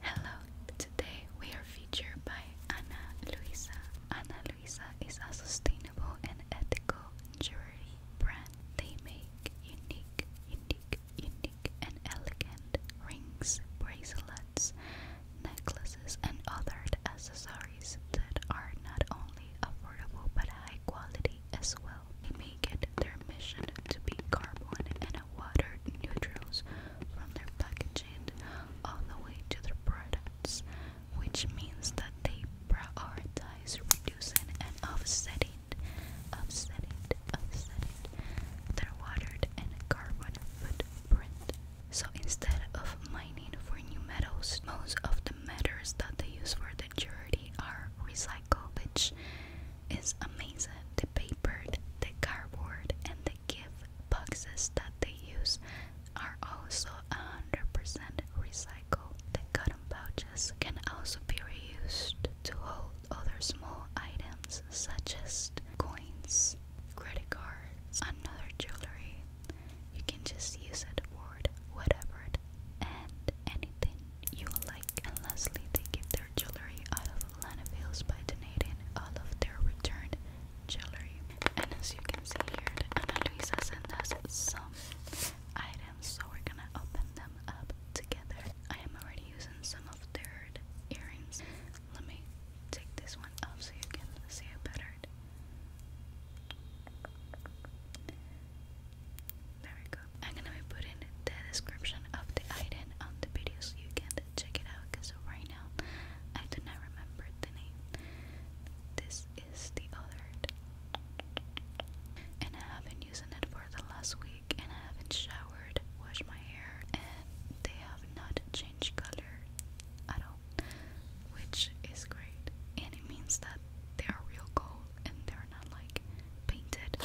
Hello, today we are featured by Ana Luisa. Ana Luisa is a sustainable and ethical jewelry brand. They make unique, unique, unique, and elegant rings, bracelets, necklaces, and other accessories that are not only affordable but high quality as well. They make it their mission to be carbon and neutrals from their packaging all the way to their products, which means that they prioritize reducing and offsetting offsetting, offsetting their watered and carbon footprint. So instead of mining for new metals, most of the metals that they use for the jewelry are recycled, which is amazing. The paper, the cardboard, and the gift boxes that they use are also 100% recycled. The cotton pouches can also be reused to hold other small items such as coins, credit cards, another jewelry. You can just use it for whatever and anything you like. And lastly, they give their jewelry out of Lanavilles by donating all of their returned jewelry. And as you can see here, Ana Luisa sent us some items, so we're gonna open them up together. I am already using some of their earrings. Let me take this one up so you can see it better. There we go. I'm gonna be putting the description of the item on the video so you can check it out because right now I do not remember the name. This is the other, and I haven't used it for the last week, and I haven't showered, washed my hair, and they have not changed color at all, which is great, and it means that they are real gold and they're not like painted.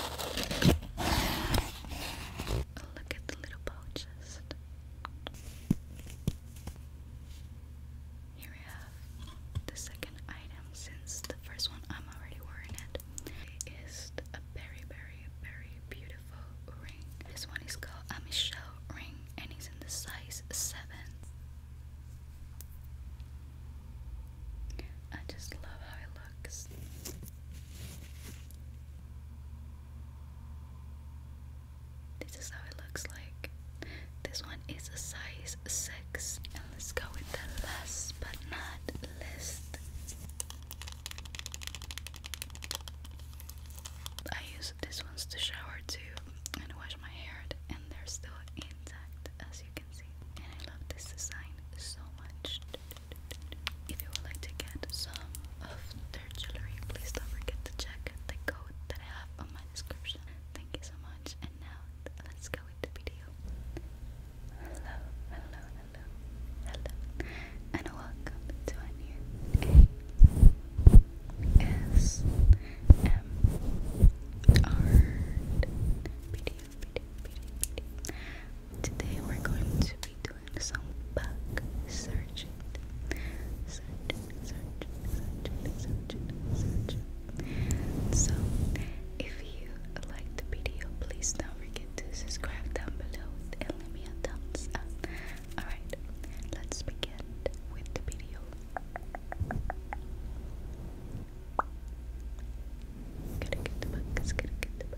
Look at the little apologist. Here we have the second item since the first one I'm already wearing it. It is a very, very, very beautiful ring. This one is called a Michelle ring and it's in the size 7. I just love how it looks. This is how it looks like. This one is a size 6. And let's go with the last but not least. I use these ones to shower too and wash my hair, and they're still intact as you can see. And I love this design so much. If you would like to get some of their jewelry, please don't forget to check the code that I have on my description. Thank you so much, and now let's go into the video. Hello, hello, hello, hello, and welcome to a new video, video, video. Today we're going to be doing doing some bug searching. Searching, searching, searching, searching, searching. So, if you liked the video, please don't forget to subscribe down below and leave me a thumbs up. Alright, let's begin with the video. Gotta get the bug, gotta get the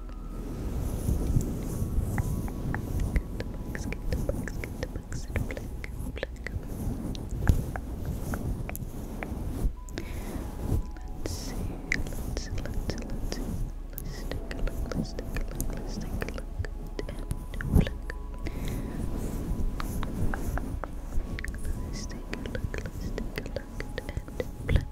bugs, get the bugs, get the bugs in black, black. Let's see, let's see, let's see, let's see. Let's take a look, let's take a look, let's take a look. And black. Let's take a look, let's take a look. And black.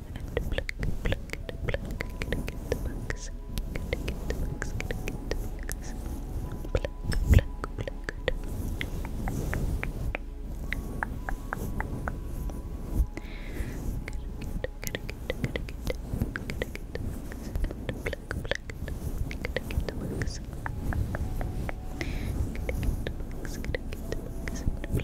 Pluck, pluck, pluck, pluck, get the bugs. Get the bugs, get the bugs. Pluck, pluck, pluck. Get, get, get, get, get, get, get the bugs. Pluck, pluck, get, get the bugs. Get, get the bugs, get, get the bugs. Pluck,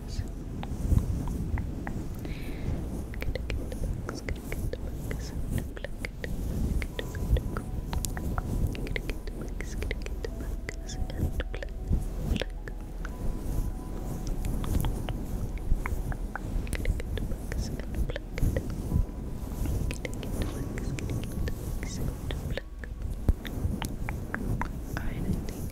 bugs. Gotta get the bugs, gotta get the bugs. Look, look, look, look, look. Gotta get the bugs, gotta get the bugs. And look, look. Gotta get the bugs and pluck it. Gotta get the bugs, gotta get the bugs and pluck. Alright, I think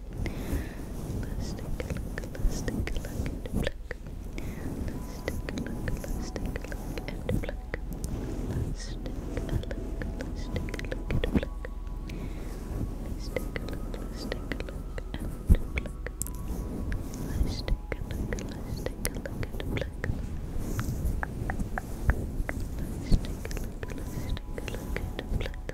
Let's take a look, let's take a look and pluck. Let's take a look, let's take a look and pluck. Let's take a look, let's take a look and pluck. Let's take a look, let's take a look and pluck. Let's take a look, let's take a look and pluck. Let's take a look, let's take a look and pluck.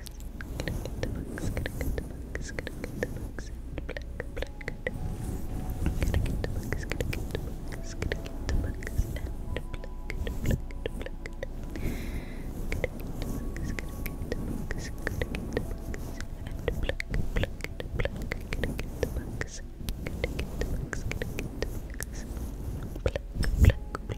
books, gonna get the books, gonna get the books, gonna get the books, black, black, gonna get the books, gonna get the books, gonna get the books, and black, black, black, gonna get the books, gonna get the books, gonna get the books, and black, black, black, gonna get the books, gonna get the books, gonna get the books, black, black, black,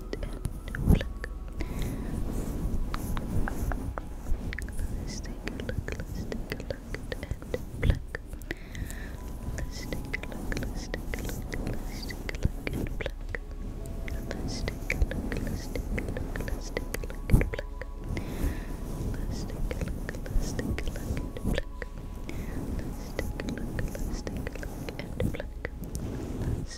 and look. Let's take a look, let's take a look Let's take a look, let's take a look, let's take a look Let's take a look, let's take a look, let's take a look Let's take a look, let's take a look Let's take a look, let's take a look and pluck. Let's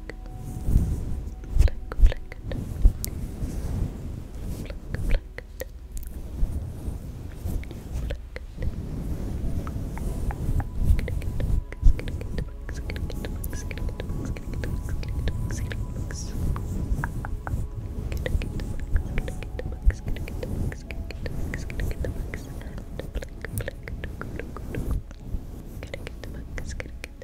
flick, flick, flick it, flick, flick it, flick it. Get the bugs, get the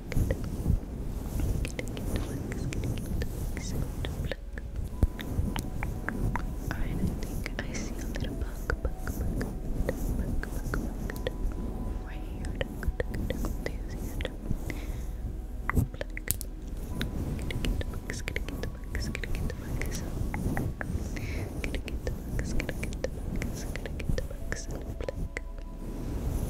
Alright, I think I see a little bug, bug, bug, bug, bug, bug, right here. Do you see it? Pluck. Gonna get the bugs, gonna get the bugs, gonna get the bugs. Gonna get the bugs, gonna get the bugs, gonna get the bugs, and pluck. Let's see, let's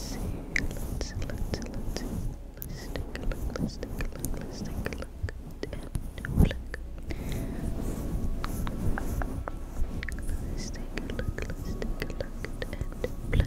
see, let's see, let's see. Let's take a look, let's take a look, let's take a look. And black. Let's take a look, let's take a look. And black.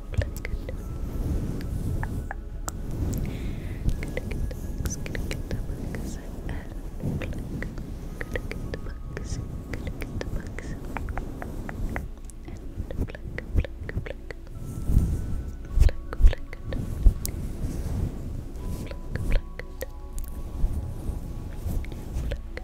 Good, good. Good, good. Good, good. Bugs. Good, good. Bugs. Good, good. Bugs. And black, black, black. Black, black. Black, black. Black, black.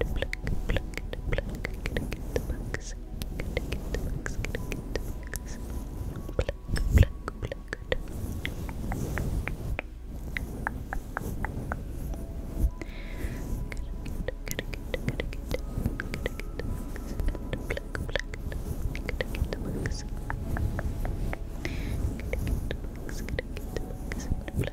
and pluck, pluck, pluck. Gonna get the bugs. Gonna get the bugs. Gonna get the bugs. Pluck, pluck, pluck. Gonna get, gonna get, gonna get, gonna get the bugs. And pluck, pluck. Gonna get the bugs. Gonna get the bugs. Gonna get the bugs. Pluck,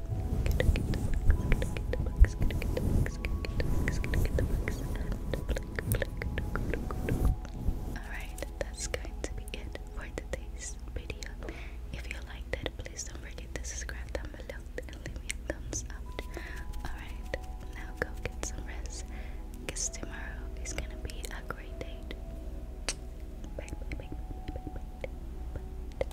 Alright, that's going to be it for today's video. If you liked it, please don't forget to subscribe down below and leave me a thumbs up. Alright, now go get some rest because tomorrow is gonna be a great day. Bye, bye, bye, bye, bye, bye, bye.